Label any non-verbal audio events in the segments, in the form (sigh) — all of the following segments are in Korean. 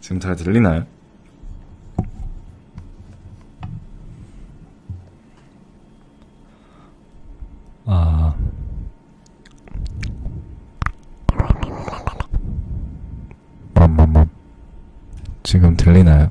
지금 잘 들리나요? 아. 맘맘맘. 지금 들리나요?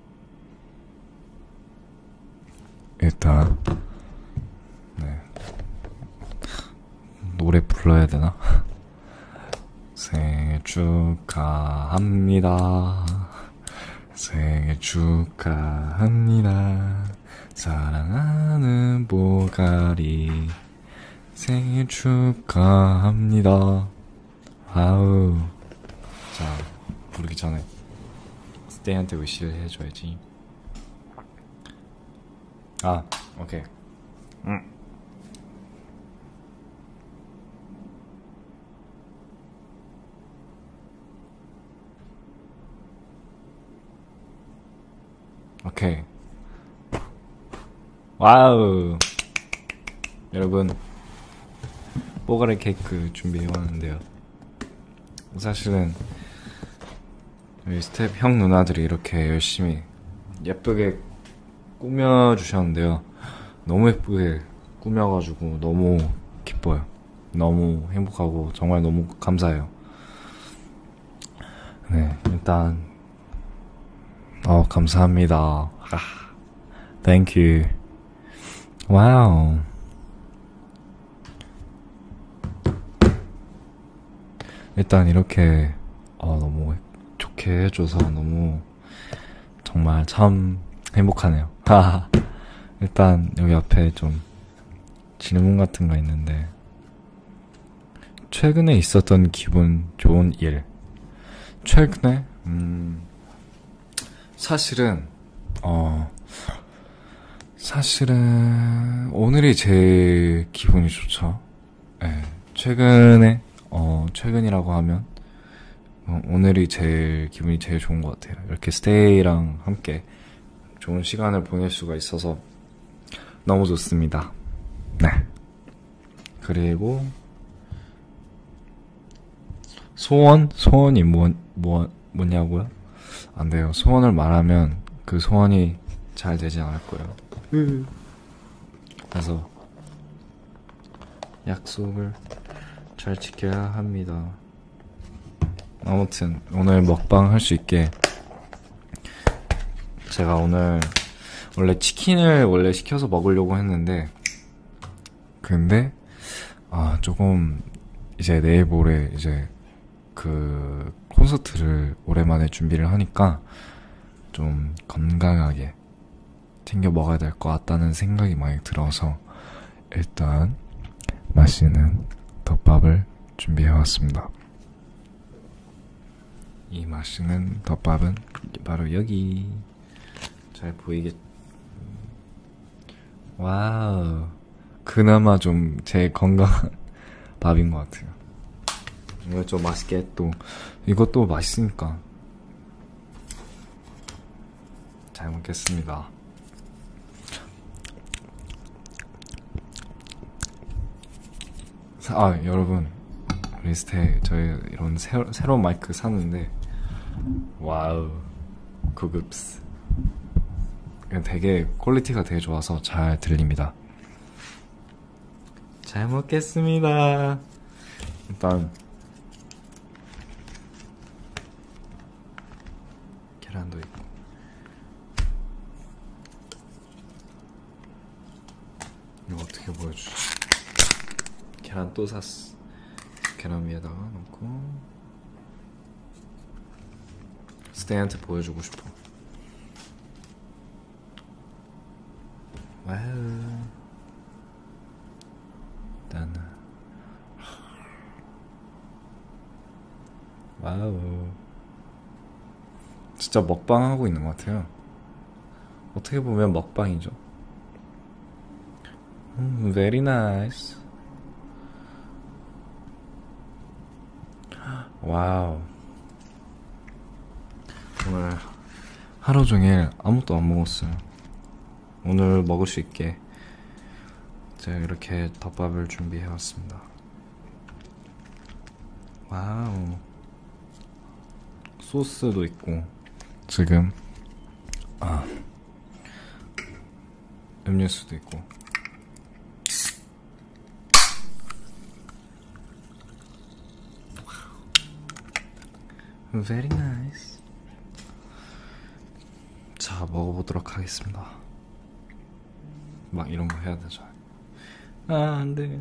일단 네. 노래 불러야 되나? (laughs) 생일 축하합니다. 생일 축하합니다. 사랑하는 보가리 생일 축하합니다. 아우. 자, 부르기 전에 스테이한테 위시를 해줘야지. 아, 오케이. 응. 음. 오케이. 와우. 여러분 뽀가리 케이크 준비해왔는데요 사실은 저희 스텝 형 누나들이 이렇게 열심히 예쁘게 꾸며주셨는데요 너무 예쁘게 꾸며가지고 너무 기뻐요 너무 행복하고 정말 너무 감사해요 네 일단 어 감사합니다 아, Thank you 와우. 일단 이렇게 아, 너무 좋게 해줘서 너무 정말 참 행복하네요. (laughs) 일단 여기 앞에 좀 질문 같은 거 있는데 최근에 있었던 기분 좋은 일 최근에 음 사실은 어 사실은 오늘이 제일 기분이 좋죠. 네, 예, 최근에 어 최근이라고 하면 어, 오늘이 제일 기분이 제일 좋은 것 같아요. 이렇게 스테이랑 함께 좋은 시간을 보낼 수가 있어서 너무 좋습니다. 네. 그리고 소원? 소원이 뭐, 뭐, 뭐냐고요? 안 돼요. 소원을 말하면 그 소원이 잘 되지 않을 거예요. 음. 그래서 약속을 잘 지켜야 합니다. 아무튼 오늘 먹방 할 수 있게 제가 오늘 원래 치킨을 원래 시켜서 먹으려고 했는데 근데 아 조금 이제 내일 모레 이제 그 콘서트를 오랜만에 준비를 하니까 좀 건강하게 챙겨 먹어야 될 것 같다는 생각이 많이 들어서 일단 맛있는 덮밥을 준비해 왔습니다. 이 맛있는 덮밥은 바로 여기 잘 보이겠. 와우. 그나마 좀 제 건강한 (laughs) 밥인 것 같아요. 이거 좀 맛있게 또 이것도 맛있으니까 잘 먹겠습니다. 아 여러분 리스트에 저희 이런 새로, 새로운 마이크 샀는데 와우 구급스 되게 퀄리티가 되게 좋아서 잘 들립니다 잘 먹겠습니다 일단 계란도 있고 이거 어떻게 보여주지 계란 또 샀어 계란 위에다가 넣고 스테이한테 보여주고 싶어 와우 일단 와우 진짜 먹방하고 있는 것 같아요 어떻게 보면 먹방이죠 Mm, very nice. 와우. 오늘 하루 종일 아무것도 안 먹었어요. 오늘 먹을 수 있게 제가 이렇게 덮밥을 준비해왔습니다. 와우. 소스도 있고, 지금, 아. 음료수도 있고 Very nice 자 먹어보도록 하겠습니다 막 이런거 해야 되죠 아 안돼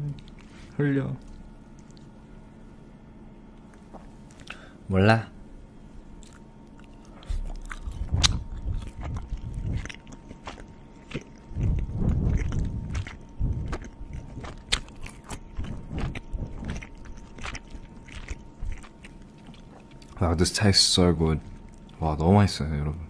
흘려 몰라. Wow, this tastes so good. 와, 너무 맛있어요, 여러분.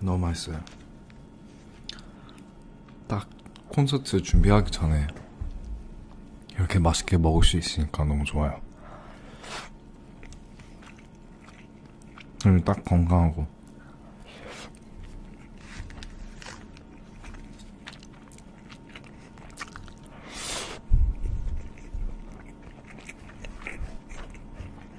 너무 맛있어요. 딱 콘서트 준비하기 전에 이렇게 맛있게 먹을 수 있으니까 너무 좋아요. 그리고 딱 건강하고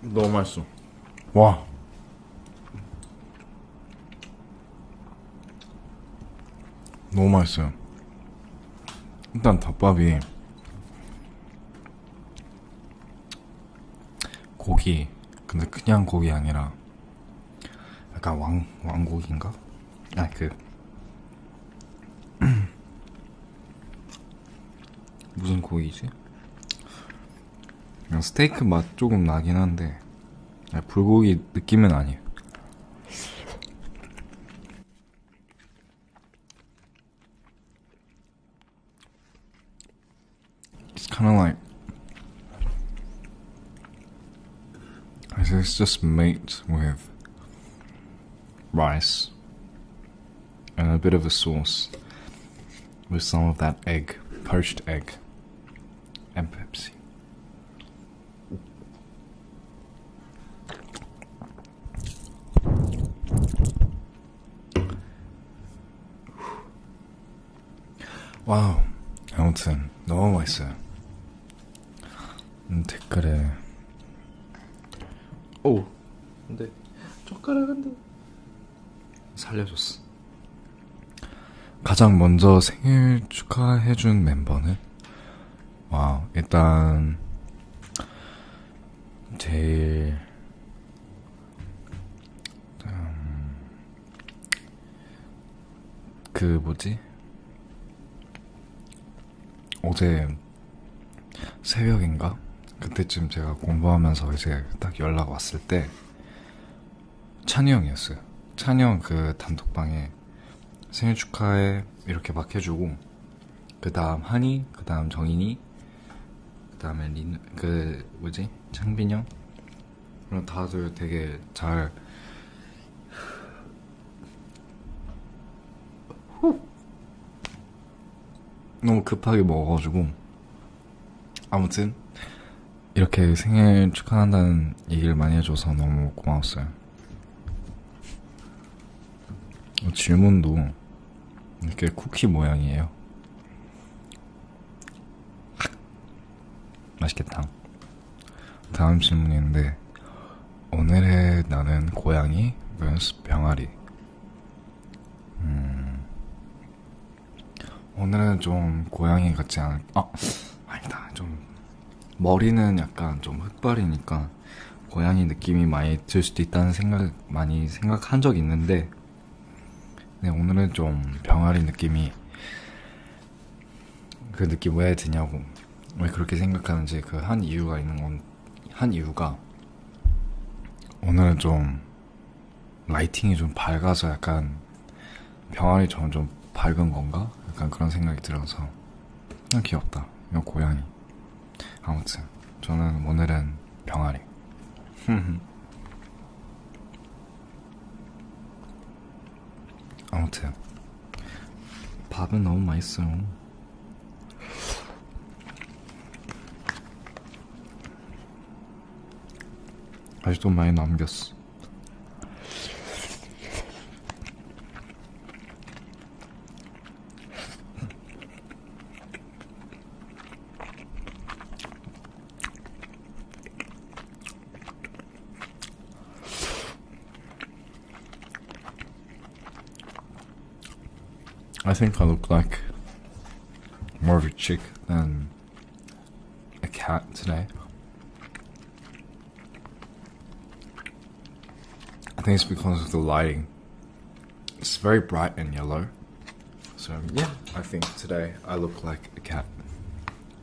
너무 맛있어. 와. 너무 맛있어요. 일단 덮밥이 고기 근데 그냥 고기 아니라 약간 왕 왕국인가? 아 그 (clears throat) 무슨 고기지? 그냥 스테이크 맛 조금 나긴 한데 아, 불고기 느낌은 아니에요. It's kind of like. it's just meat with rice and a bit of a sauce with some of that egg, poached egg, and Pepsi? 와우. 아무튼 너무 맛있어요. 음, 댓글에 오. 근데 젓가락인데 살려줬어. 가장 먼저 생일 축하해준 멤버는 와 일단 제일 음, 그 뭐지? 어제 새벽인가? 그때쯤 제가 공부하면서 이제 딱 연락 왔을 때 찬이 형이었어요. 찬이 형 그 단톡방에 생일 축하해 이렇게 막 해주고 그 다음 한이 그 다음 정인이 그 다음에 린그 뭐지 창빈 형 그럼 다들 되게 잘 너무 급하게 먹어가지고 아무튼 이렇게 생일 축하한다는 얘기를 많이 해줘서 너무 고마웠어요. 질문도 이렇게 쿠키 모양이에요. 맛있겠다. 다음 질문인데, 오늘의 나는 고양이 vs 병아리. 음, 오늘은 좀 고양이 같지 않을, 아, 아니다. 좀, 머리는 약간 좀 흑발이니까 고양이 느낌이 많이 들 수도 있다는 생각, 많이 생각한 적 있는데, 네, 오늘은 좀 병아리 느낌이 그 느낌 왜 드냐고 왜 그렇게 생각하는지 그 한 이유가 있는 건 한 이유가 오늘은 좀 라이팅이 좀 밝아서 약간 병아리 점점 밝은 건가 약간 그런 생각이 들어서 그냥 아, 귀엽다 이거 고양이 아무튼 저는 오늘은 병아리 (laughs) 아무튼 밥은 너무 맛있어요. 아직도 많이 남겼어. I think I look like more of a chick than a cat today. I think it's because of the lighting. It's very bright and yellow. So, yeah, I think today I look like a cat.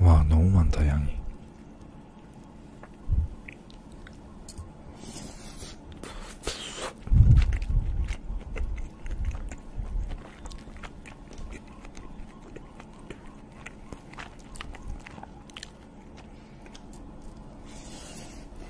와 너무 많다 양이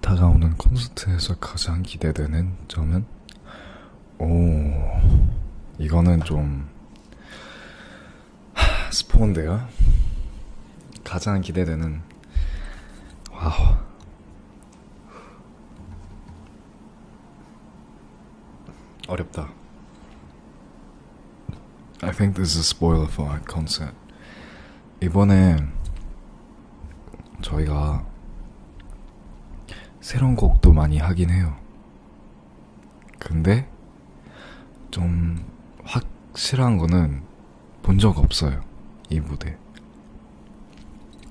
다가오는 콘서트에서 가장 기대되는 점은 오 이거는 좀 하, 스포인데요 가장 기대되는 와우 어렵다 I think this is a spoiler for our concert. 이번에 저희가 새로운 곡도 많이 하긴 해요. 근데 좀 확실한 거는 본 적 없어요. 이 무대.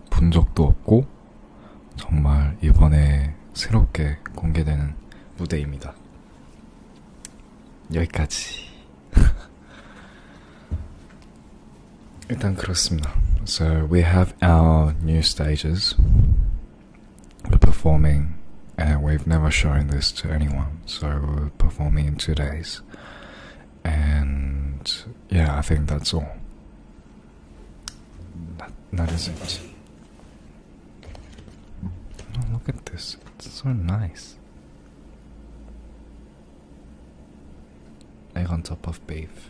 본 적도 없고 정말 이번에 새롭게 공개되는 무대입니다. 여기까지. (laughs) 일단 So we have our new stages. We're performing, and we've never shown this to anyone. So we're performing in two days, and yeah, I think that's all. That, that is it. Oh, look at this. It's so nice. Like on top of beef.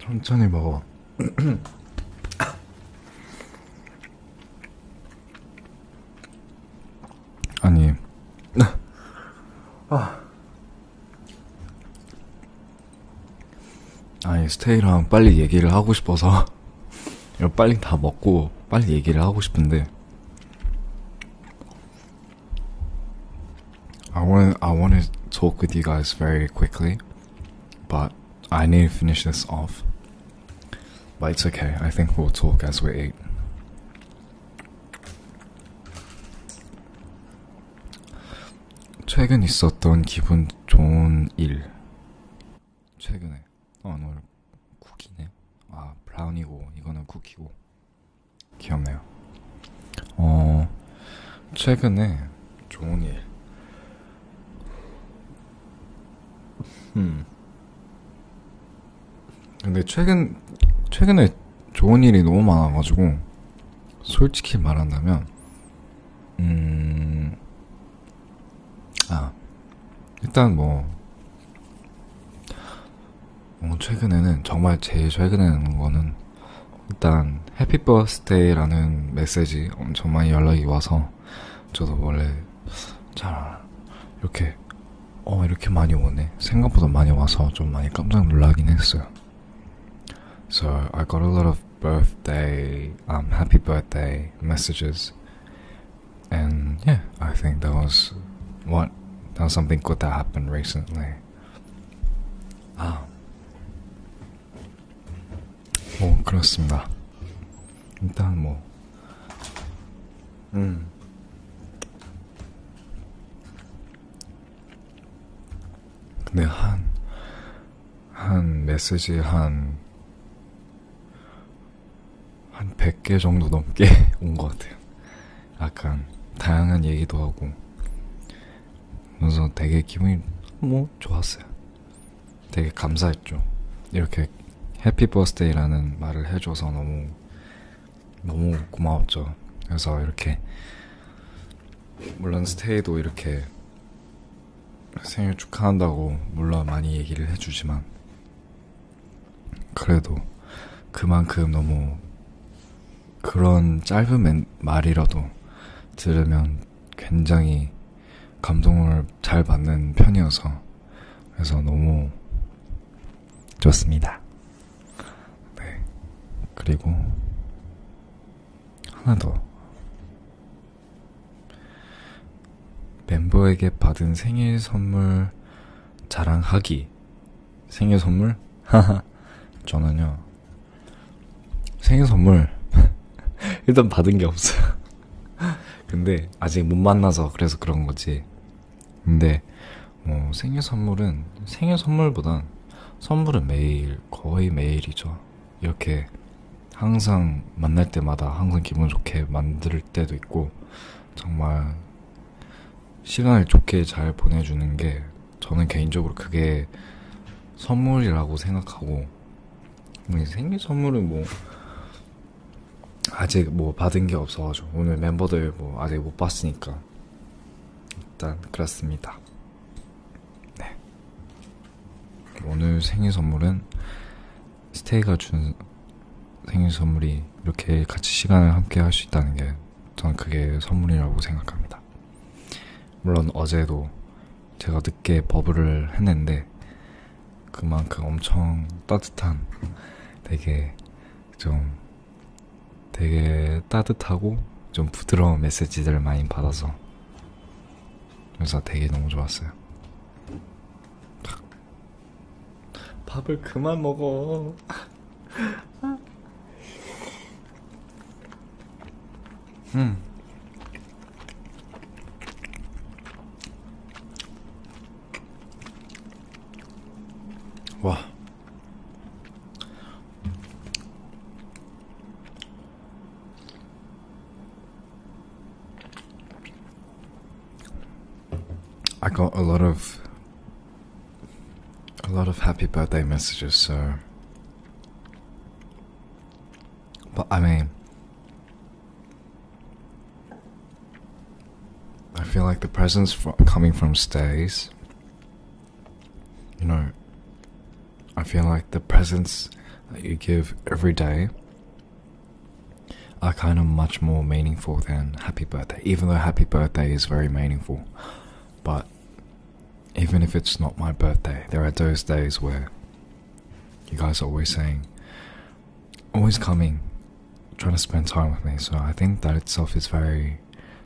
천천히 먹어. 아니. (laughs) 아. (laughs) I want to talk with you guys very quickly, but I need to finish this off. But it's okay. I think we'll talk as we eat. 최근 있었던 기분 좋은 일. 최근에. 어, 오늘 쿠키네. 아, 브라운이고, 이거는 쿠키고. 귀엽네요. 어, 최근에 좋은 일. 음. 근데 최근, 최근에 좋은 일이 너무 많아가지고, 솔직히 말한다면, 음, 아, 일단 뭐, 어, 최근에는, 정말 제일 최근에 는 거는, 일단, 해피 버스데이라는 메시지 엄청 많이 연락이 와서, 저도 원래 잘, 이렇게, 어, 이렇게 많이 오네. 생각보다 많이 와서 좀 많이 깜짝 놀라긴 했어요. So I got a lot of birthday, um, happy birthday messages, and yeah, I think that was what that was something good that happened recently. 아, ah. 뭐 oh, 그렇습니다. 일단 뭐, 음, 근데 한, 한 메시지 한, 한 100개 정도 넘게 (laughs) 온 것 같아요. 약간, 다양한 얘기도 하고. 그래서 되게 기분이, 뭐, 좋았어요. 되게 감사했죠. 이렇게 해피 버스데이라는 말을 해줘서 너무, 너무 고마웠죠. 그래서 이렇게 물론 스테이도 이렇게 생일 축하한다고 물론 많이 얘기를 해주지만 그래도 그만큼 너무 그런 짧은 말이라도 들으면 굉장히 감동을 잘 받는 편이어서 그래서 너무 좋습니다. 네. 그리고 하나 더. 멤버에게 받은 생일 선물 자랑하기. 생일 선물? 하하. 저는요. 생일 선물 (laughs) 일단 받은 게 없어요. (laughs) 근데 아직 못 만나서 그래서 그런 거지. 근데 뭐 생일 선물은 생일 선물보단 선물은 매일, 거의 매일이죠. 이렇게 항상 만날 때마다 항상 기분 좋게 만들 때도 있고, 정말 시간을 좋게 잘 보내주는 게 저는 개인적으로 그게 선물이라고 생각하고, 뭐 생일 선물은 뭐, 아직 뭐 받은 게 없어가지고, 오늘 멤버들 뭐 아직 못 봤으니까, 일단 그렇습니다. 네. 오늘 생일 선물은 스테이가 준 생일 선물이 이렇게 같이 시간을 함께 할 수 있다는 게 저는 그게 선물이라고 생각합니다. 물론 어제도 제가 늦게 버블을 했는데 그만큼 엄청 따뜻한 되게 좀 되게 따뜻하고 좀 부드러운 메시지들을 많이 받아서 그래서 되게 너무 좋았어요. 밥을 그만 먹어. 음. 와. I got a lot of a lot of happy birthday messages, so but I mean I feel like the presents coming from stays you know, I feel like the presents that you give every day are kind of much more meaningful than happy birthday, even though happy birthday is very meaningful. But even if it's not my birthday, there are those days where you guys are always saying, always coming, trying to spend time with me. So I think that itself is very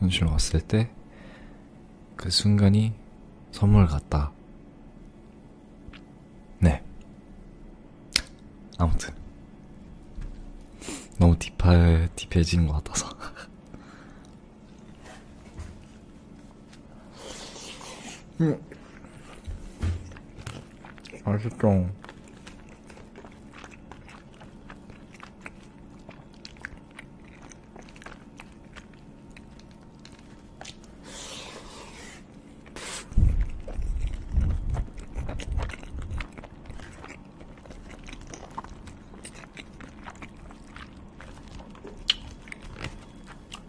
현실 왔을 때 그 순간이 선물 같다. 네. 아무튼. 너무 딥해, 딥해진 것 같아서. 음. 맛있죠?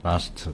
라스트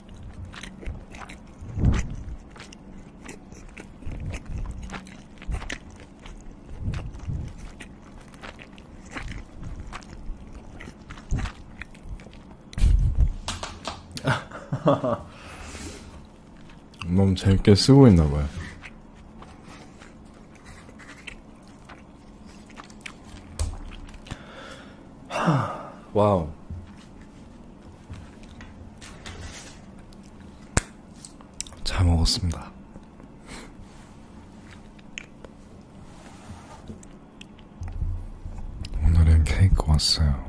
(laughs) 너무 재밌게 쓰고 있나봐요. 하, 와우. 잘 먹었습니다. 오늘은 케이크 왔어요.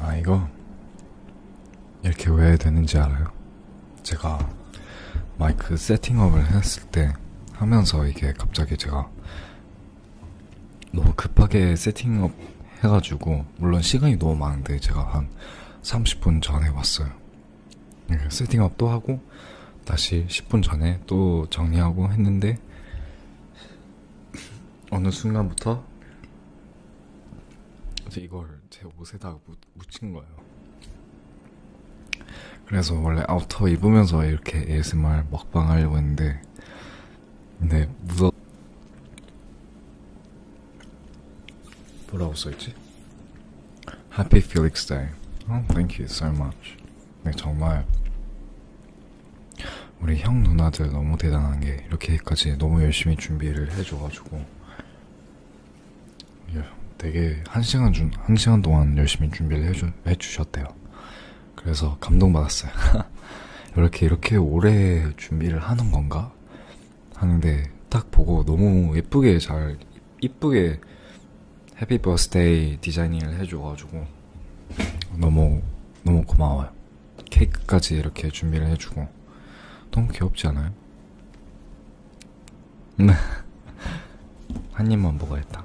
아, 이거 이렇게 왜 되는지 알아요? 제가 마이크 세팅업을 했을 때 하면서 이게 갑자기 제가 너무 급하게 세팅업 해가지고 물론 시간이 너무 많은데 제가 한 30분 전에 왔어요. 세팅업 또 하고 다시 10분 전에 또 정리하고 했는데 어느 순간부터 이제 이걸 제 옷에다가 묻힌 거예요. 그래서 원래 아우터 입으면서 이렇게 ASMR 먹방 하려고 했는데 근데 무서 뭐라고 써있지? Happy Felix Day. Oh, thank you so much. 네, 정말 우리 형 누나들 너무 대단한 게 이렇게까지 너무 열심히 준비를 해줘가지고 해가지고 예. 되게 한 시간 준, 한 시간 동안 열심히 준비를 해주, 해주셨대요. 그래서 감동받았어요. (laughs) 이렇게, 이렇게 오래 준비를 하는 건가? 하는데 딱 보고 너무 예쁘게 잘, 이쁘게 해피 버스데이 디자이닝을 해줘가지고 너무, 너무 고마워요. 케이크까지 이렇게 준비를 해주고 너무 귀엽지 않아요? 네. (laughs) 한 입만 먹어야겠다.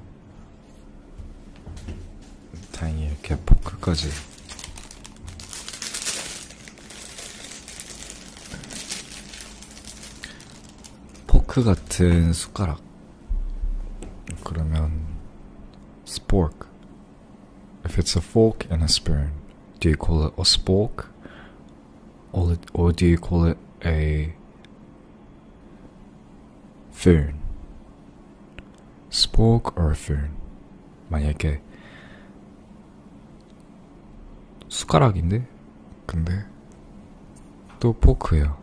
다행히 이렇게 포크까지 포크 같은 숟가락 그러면 스포크 If it's a fork and a spoon, do you call it a spork? Or, do you call it a spoon? Spork or a spoon, 만약에 숟가락인데? 근데 또 포크예요.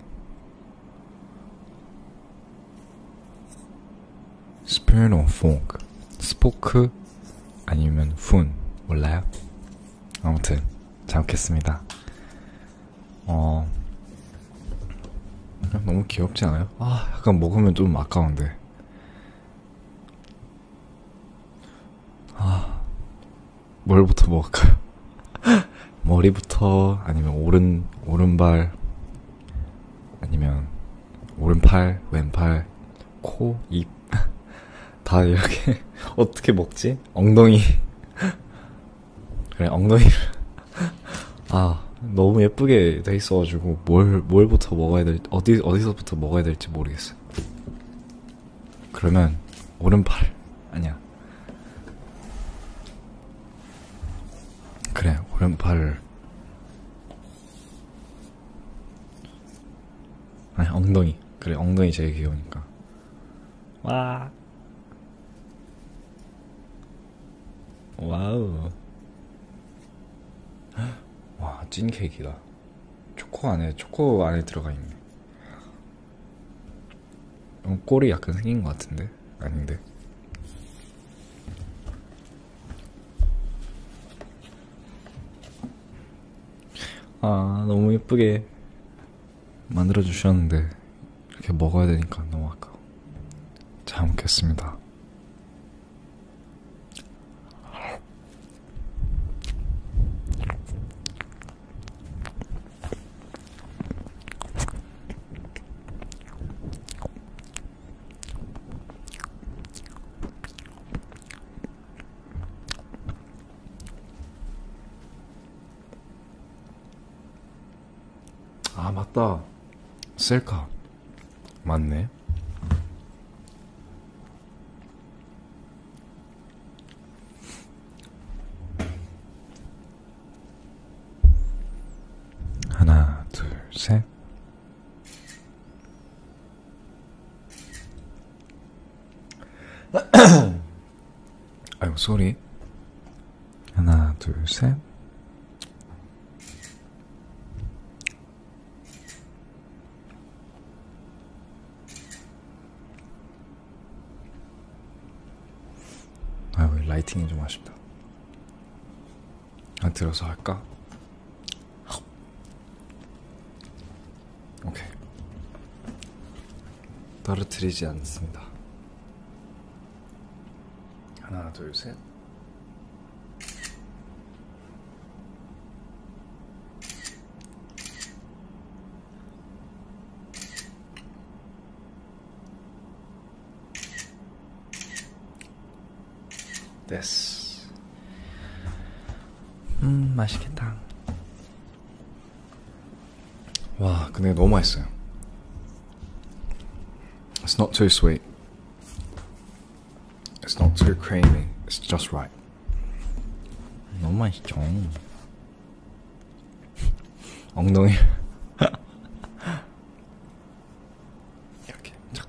스페인어 폰크 스포크 아니면 푼 몰라요? 아무튼 잘 먹겠습니다 어 너무 귀엽지 않아요? 아 약간 먹으면 좀 아까운데 아 뭘부터 먹을까요? (laughs) 머리부터 아니면 오른 오른발 아니면 오른팔, 왼팔, 코, 입. (laughs) 다 이렇게 (laughs) 어떻게 먹지? 엉덩이. (laughs) 그래, 엉덩이를. 아, 너무 예쁘게 돼 있어가지고, 뭘, 뭘부터 먹어야 될지, 어디, 어디서부터 먹어야 될지 모르겠어요. 그러면, 오른팔. 아니야. 그래, 오른팔. 아니 엉덩이 그래 엉덩이 제일 귀여우니까 와 와우 (gasps) 와 찐 케이크다 초코 안에 초코 안에 들어가 있네 꼬리 약간 생긴 것 같은데 아닌데 아 너무 예쁘게 만들어 주셨는데 이렇게 먹어야 되니까 너무 아까워 잘 먹겠습니다 아 맞다 셀카 맞네 하나 둘셋 (clears throat) 아유 소리 하나 둘셋 아유 라이팅이 좀 아쉽다 안 아, 들어서 할까? 오케이. 떨어뜨리지 않습니다. 하나, 둘, 셋. this. 음, 맛있겠다. 와, 근데 너무 맛있어요. It's not too sweet. It's not too creamy. It's just right. 너무 맛있죠. 엉덩이. (laughs) 이렇게 착.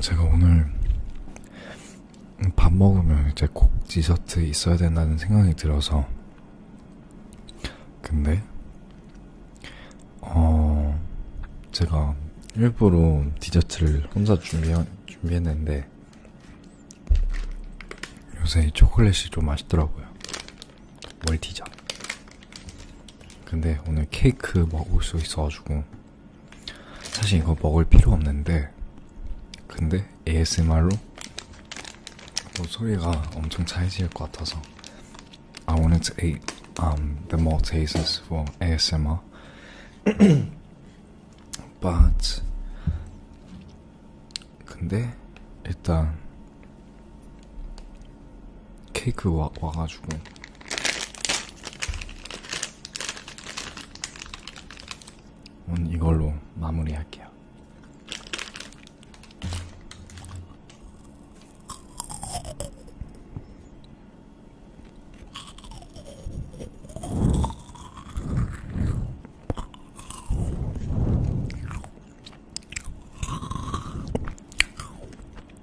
제가 오늘 밥 먹으면 이제 꼭 디저트 있어야 된다는 생각이 들어서 근데 어 제가 일부러 디저트를 혼자 준비 준비했는데 요새 초콜릿이 좀 맛있더라고요. 멀티전 근데 오늘 케이크 먹을 수 있어가지고 사실 이거 먹을 필요 없는데 근데 ASMR로 뭐 소리가 엄청 차이질 것 같아서 I wanted to eat um, the more tastes for ASMR (clears throat) but 근데 일단 케이크 와, 와가지고 오늘 이걸로 마무리할게요.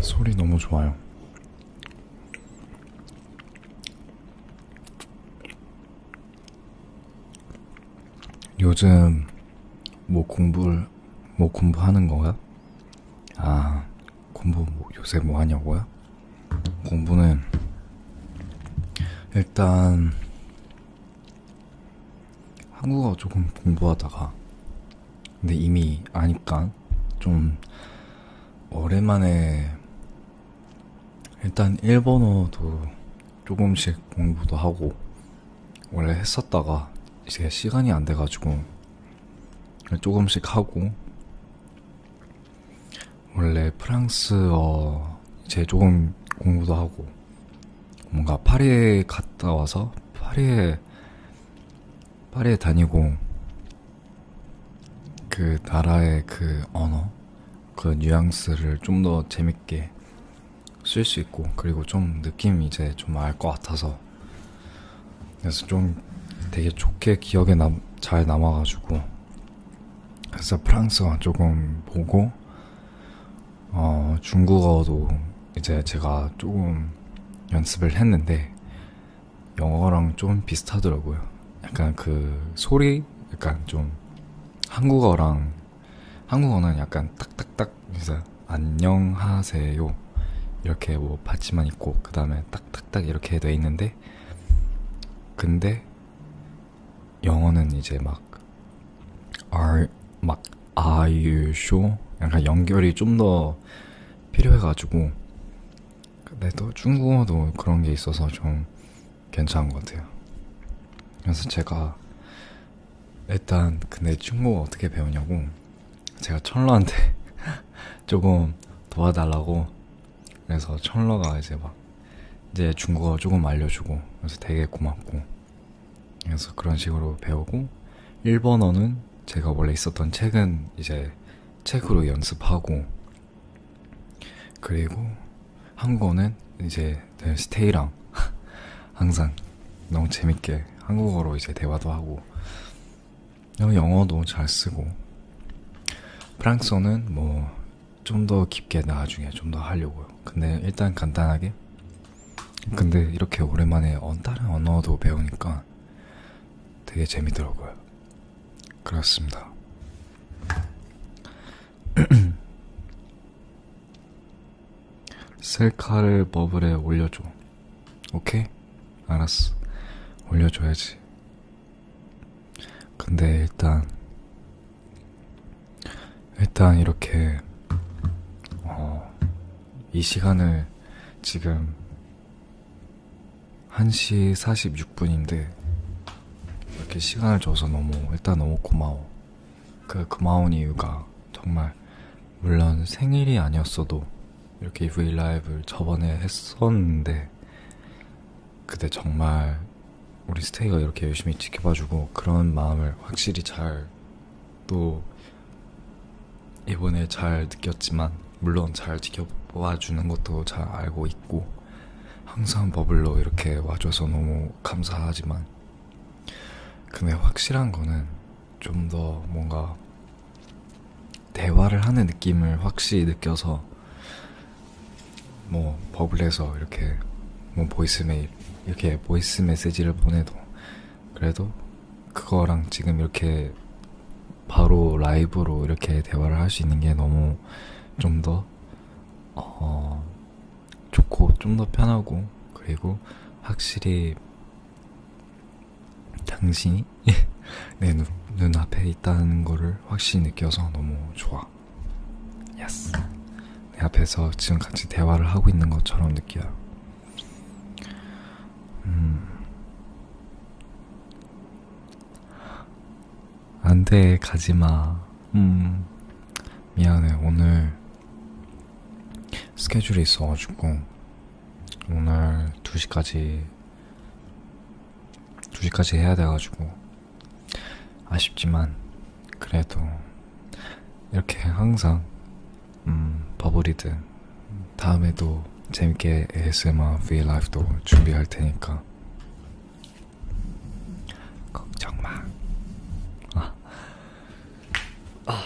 소리 너무 좋아요. 요즘 뭐 공부를 뭐 공부하는 거야? 아 공부 뭐 요새 뭐 하냐고요? 공부는 일단 한국어 조금 공부하다가 근데 이미 아니까 좀 오랜만에 일단 일본어도 조금씩 공부도 하고 원래 했었다가 이제 시간이 안 돼가지고 조금씩 하고 원래 프랑스어 이제 조금 공부도 하고 뭔가 파리에 갔다 와서 파리에 파리에 다니고 그 나라의 그 언어, 그 뉘앙스를 좀 더 재밌게 쓸 수 있고 그리고 좀 느낌 이제 좀 알 것 같아서 그래서 좀 되게 좋게 기억에 남, 잘 남아가지고 그래서 프랑스어 조금 보고 어, 중국어도 이제 제가 조금 연습을 했는데 영어랑 좀 비슷하더라고요. 약간 그 소리, 약간 좀 한국어랑 한국어는 약간 딱딱딱 그래서 안녕하세요 이렇게 뭐 받침만 있고 그 다음에 딱딱딱 이렇게 돼 있는데 근데 영어는 이제 막 are 막 are you sure 약간 연결이 좀더 필요해가지고 근데 또 중국어도 그런 게 있어서 좀 괜찮은 것 같아요. 그래서 제가 일단 근데 중국어 어떻게 배우냐고 제가 천러한테 (laughs) 조금 도와달라고 그래서 천러가 이제 막 이제 중국어 조금 알려주고 그래서 되게 고맙고 그래서 그런 식으로 배우고 일본어는 제가 원래 있었던 책은 이제 책으로 연습하고 그리고 한국어는 이제 스테이랑 (laughs) 항상 너무 재밌게 한국어로 이제 대화도 하고 어, 영어도 잘 쓰고 프랑스어는 뭐 좀 더 깊게 나중에 좀 더 하려고요. 근데 일단 간단하게 근데 이렇게 오랜만에 다른 언어도 배우니까 되게 재미더라고요. 그렇습니다. (clears throat) 셀카를 버블에 올려줘. 오케이? 알았어. 올려줘야지. 근데 일단, 일단 이렇게, 어, 이 시간을 지금 1시 46분인데 이렇게 시간을 줘서 너무 일단 너무 고마워. 그 고마운 이유가 정말 물론 생일이 아니었어도 이렇게 브이라이브를 저번에 했었는데 그때 정말 우리 스테이가 이렇게 열심히 지켜봐주고 그런 마음을 확실히 잘또 이번에 잘 느꼈지만 물론 잘 지켜봐주는 것도 잘 알고 있고 항상 버블로 이렇게 와줘서 너무 감사하지만 근데 확실한 거는 좀 더 뭔가 대화를 하는 느낌을 확실히 느껴서 뭐 버블에서 이렇게 뭐 보이스메일 이렇게 보이스 메시지를 보내도 그래도 그거랑 지금 이렇게 바로 라이브로 이렇게 대화를 할 수 있는 게 너무 좀더 어, 좋고 좀 더 편하고 그리고 확실히 당신이 (laughs) 내 눈, 눈앞에 있다는 거를 확실히 느껴서 너무 좋아. 예스. 내 앞에서 지금 같이 대화를 하고 있는 것처럼 느껴요. 음, 안 돼, 가지마. 음, 미안해, 오늘 스케줄이 있어가지고, 오늘 2시까지, 2시까지 해야 돼가지고, 아쉽지만, 그래도, 이렇게 항상, 음, 버블이든, 다음에도 재밌게 ASMR V라이브도 준비할 테니까 걱정 마. 아, 아,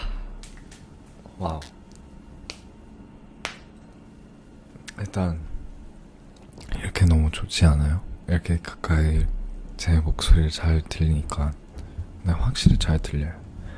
와우. 일단 이렇게 너무 좋지 않아요? 이렇게 가까이 제 목소리를 잘 들리니까 네, 확실히 잘 들려요.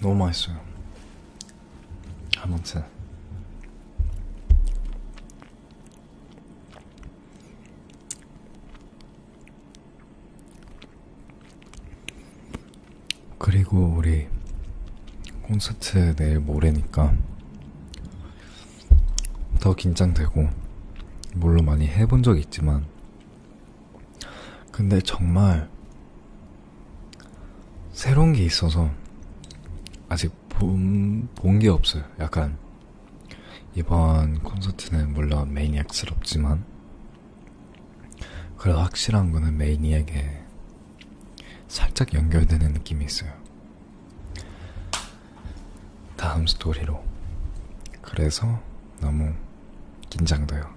너무 맛있어요. 아무튼 그리고 우리 콘서트 내일 모레니까 더 긴장되고 물론 많이 해본 적 있지만 근데 정말 새로운 게 있어서 아직 본 게 없어요. 약간 이번 콘서트는 물론 매니악스럽지만 그래도 확실한 거는 매니에게 살짝 연결되는 느낌이 있어요. 다음 스토리로. 그래서 너무 긴장돼요.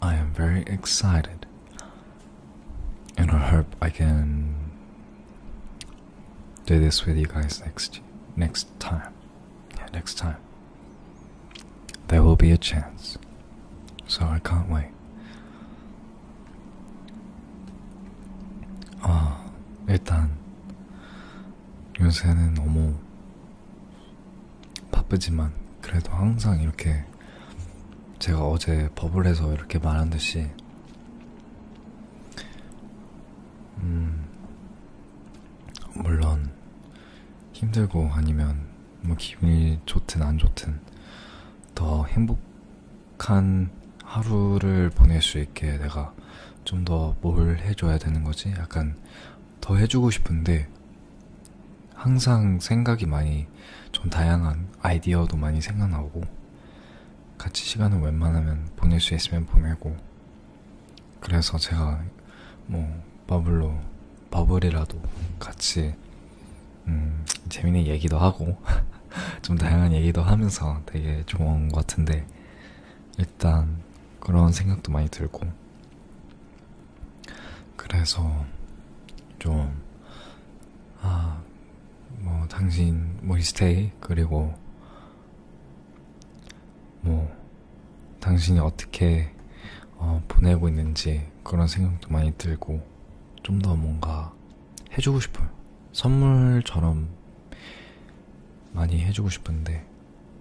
I am very excited. And I hope I can do this with you guys next next time. next time. There will be a chance. So I can't wait. 아, ah, 일단 요새는 너무 바쁘지만 그래도 항상 이렇게 제가 어제 버블에서 이렇게 말한 듯이 음 물론 힘들고 아니면 뭐 기분이 좋든 안 좋든 더 행복한 하루를 보낼 수 있게 내가 좀 더 뭘 해줘야 되는 거지 약간 더 해주고 싶은데 항상 생각이 많이 좀 다양한 아이디어도 많이 생각나고 같이 시간을 웬만하면 보낼 수 있으면 보내고 그래서 제가 뭐 버블로 버블이라도 같이 음, 재밌는 얘기도 하고 (laughs) 좀 다양한 얘기도 하면서 되게 좋은 것 같은데 일단 그런 생각도 많이 들고 그래서 좀, 아, 뭐, 당신, 뭐, 스테이, 그리고, 뭐, 당신이 어떻게, 어, 보내고 있는지 그런 생각도 많이 들고, 좀 더 뭔가 해주고 싶어요. 선물처럼 많이 해주고 싶은데,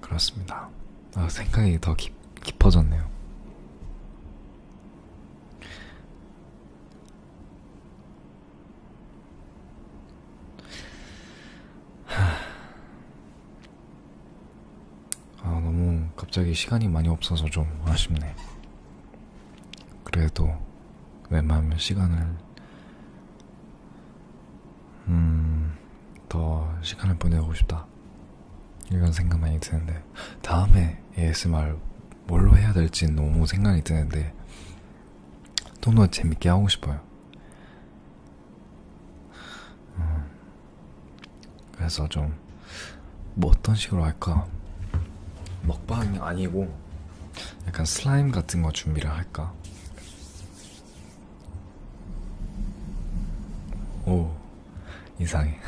그렇습니다. 아, 생각이 더 깊, 깊어졌네요. 아, 너무 갑자기 시간이 많이 없어서 좀 아쉽네. 그래도 웬만하면 시간을 음, 더 시간을 보내고 싶다. 이런 생각 많이 드는데, 다음에 ASMR 뭘로 해야 될지 너무 생각이 드는데, 좀더 재밌게 하고 싶어요. 음, 그래서 좀, 뭐 어떤 식으로 할까? 먹방이 아니고, 약간 슬라임 같은 거 준비를 할까? 오 이상해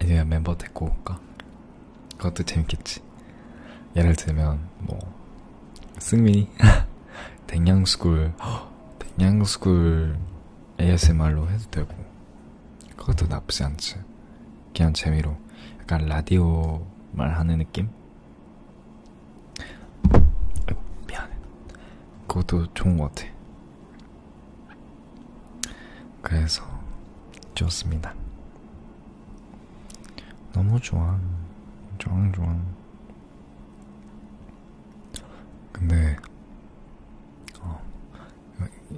아니면 (laughs) 멤버 데리고 올까? 그것도 재밌겠지 예를 들면 뭐 승민이 댕양스쿨 댕양스쿨 ASMR로 해도 되고 그것도 나쁘지 않지 그냥 재미로 약간 라디오 말하는 느낌? 미안해. 그것도 좋은 것 같아. 그래서 좋습니다. 너무 좋아. 좋아, 좋아. 근데, 어,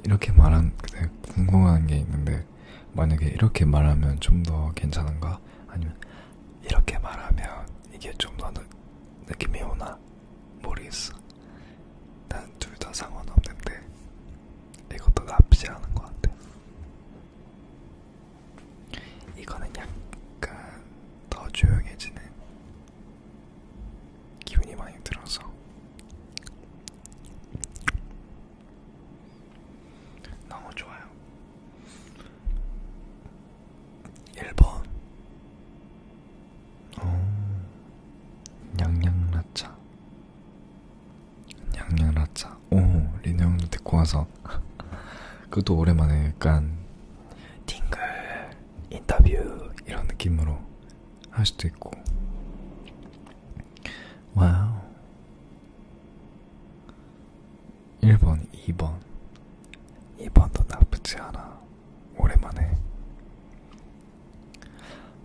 이렇게 말한, 근데 궁금한 게 있는데, 만약에 이렇게 말하면 좀 더 괜찮은가? 아니면, 이렇게 말하면 이게 좀 더 느낌이 오나 모르겠어. 난 둘 다 상관없는데 이것도 나쁘지 않은 것 같아. 이거는 약간 더 조용해지는 기분이 많이 들어서 너무 좋아요. 1번 오, 냥냥라차 냥냥라차 오 린형도 데리고 와서 (laughs) 그것도 오랜만에 약간 팅글 인터뷰 이런 느낌으로 할 수도 있고 와우 1번, 2번. 2번도 나쁘지 않아. 오랜만에.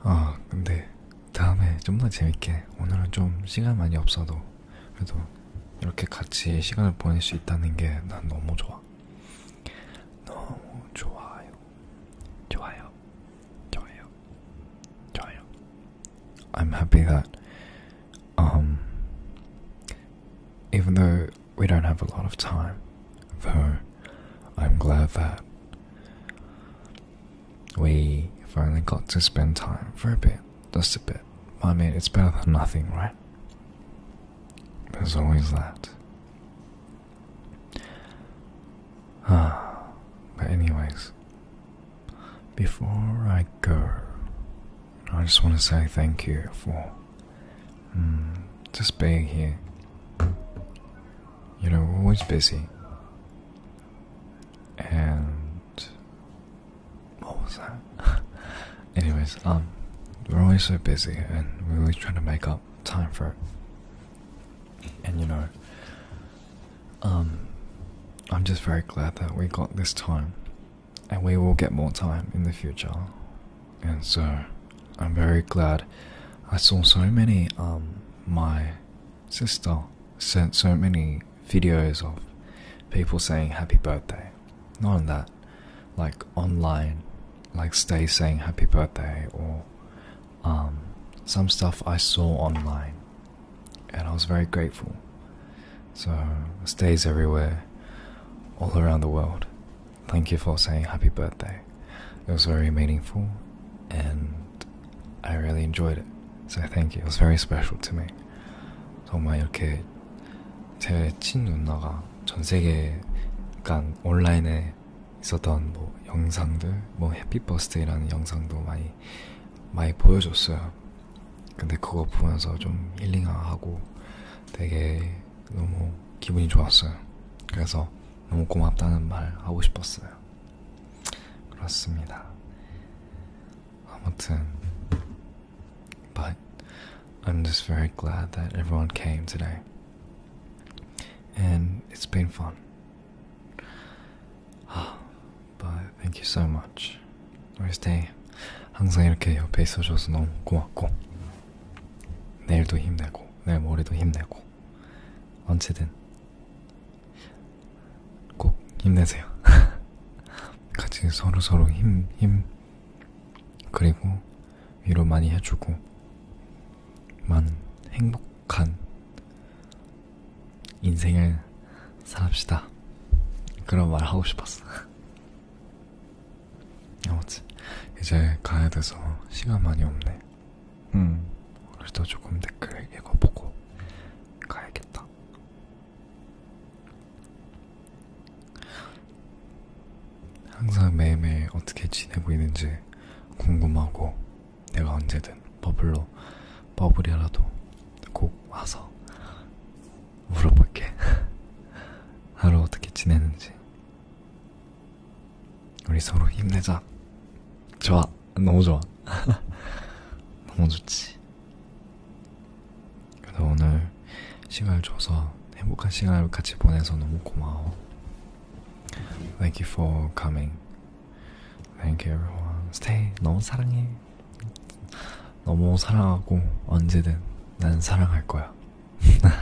아, 근데 다음에 좀 더 재밌게. 오늘은 좀 시간 많이 없어도 그래도 이렇게 같이 시간을 보낼 수 있다는 게 난 너무 좋아. 너무 좋아요. 좋아요. 좋아요. 좋아요. I'm happy that Um, even though we don't have a lot of time, though, I'm glad that we finally got to spend time for a bit, just a bit. I mean, it's better than nothing, right? There's always that. Ah, but anyways, before I go, I just want to say thank you for mm, just being here. You know, we're always busy. And what was that? (laughs) Anyways, um, we're always so busy, and we're always trying to make up time for it. And you know, um, I'm just very glad that we got this time and we will get more time in the future. And so I'm very glad I saw so many, um, my sister sent so many videos of people saying happy birthday. Not on that, like online, like stay saying happy birthday or um, some stuff I saw online and I was very grateful. So, stays everywhere, all around the world. Thank you for saying happy birthday. It was very meaningful and I really enjoyed it. So, thank you. It was very special to me. 정말 이렇게 제 친누나가 전 세계, 그러니까 온라인에 있었던 뭐 영상들, 뭐 해피 버스데이라는 영상도 많이 많이 보여줬어요. 근데 그거 보면서 좀 힐링하고 되게 너무 기분이 좋았어요. 그래서 너무 고맙다는 말 하고 싶었어요. 그렇습니다. 아무튼, but I'm just very glad that everyone came today. And it's been fun. 아, But thank you so much. Wednesday. 항상 이렇게 옆에 있어줘서 너무 고맙고 내일도 힘내고 내일 모레도 힘내고 언제든 꼭 힘내세요. (laughs) 같이 서로 서로 힘힘 힘 그리고 위로 많이 해주고 많은 행복한 인생을 살합시다. 그런 말 하고 싶었어. (laughs) 아무튼 이제 가야 돼서 시간 많이 없네. 음, 그래도 조금 댓글 읽어보고 가야겠다. 항상 매일매일 어떻게 지내고 있는지 궁금하고 내가 언제든 버블로 버블이라도 꼭 와서 물어볼게. (laughs) 하루 어떻게 지내는지. 우리 서로 힘내자. 좋아. 너무 좋아. (laughs) 너무 좋지. 그래도 오늘 시간을 줘서 행복한 시간을 같이 보내서 너무 고마워. Thank you for coming. Thank you everyone. Stay. 너무 사랑해. 너무 사랑하고 언제든 난 사랑할 거야.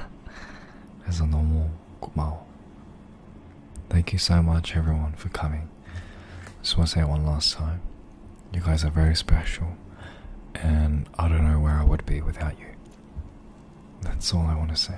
(laughs) 그래서 너무 고마워. Thank you so much everyone for coming. Just want to say one last time. You guys are very special, and I don't know where I would be without you. That's all I want to say.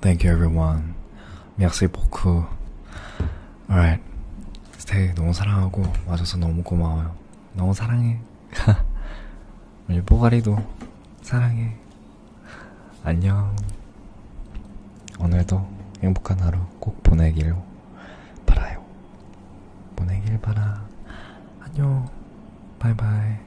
Thank you everyone. Merci beaucoup. Alright. 스테이 너무 사랑하고 와줘서 너무 고마워요. 너무 사랑해. (laughs) 우리 뽀가리도 사랑해. 안녕. 오늘도 행복한 하루 꼭 보내길 바라요. 보내길 바라. 안녕. 바이바이.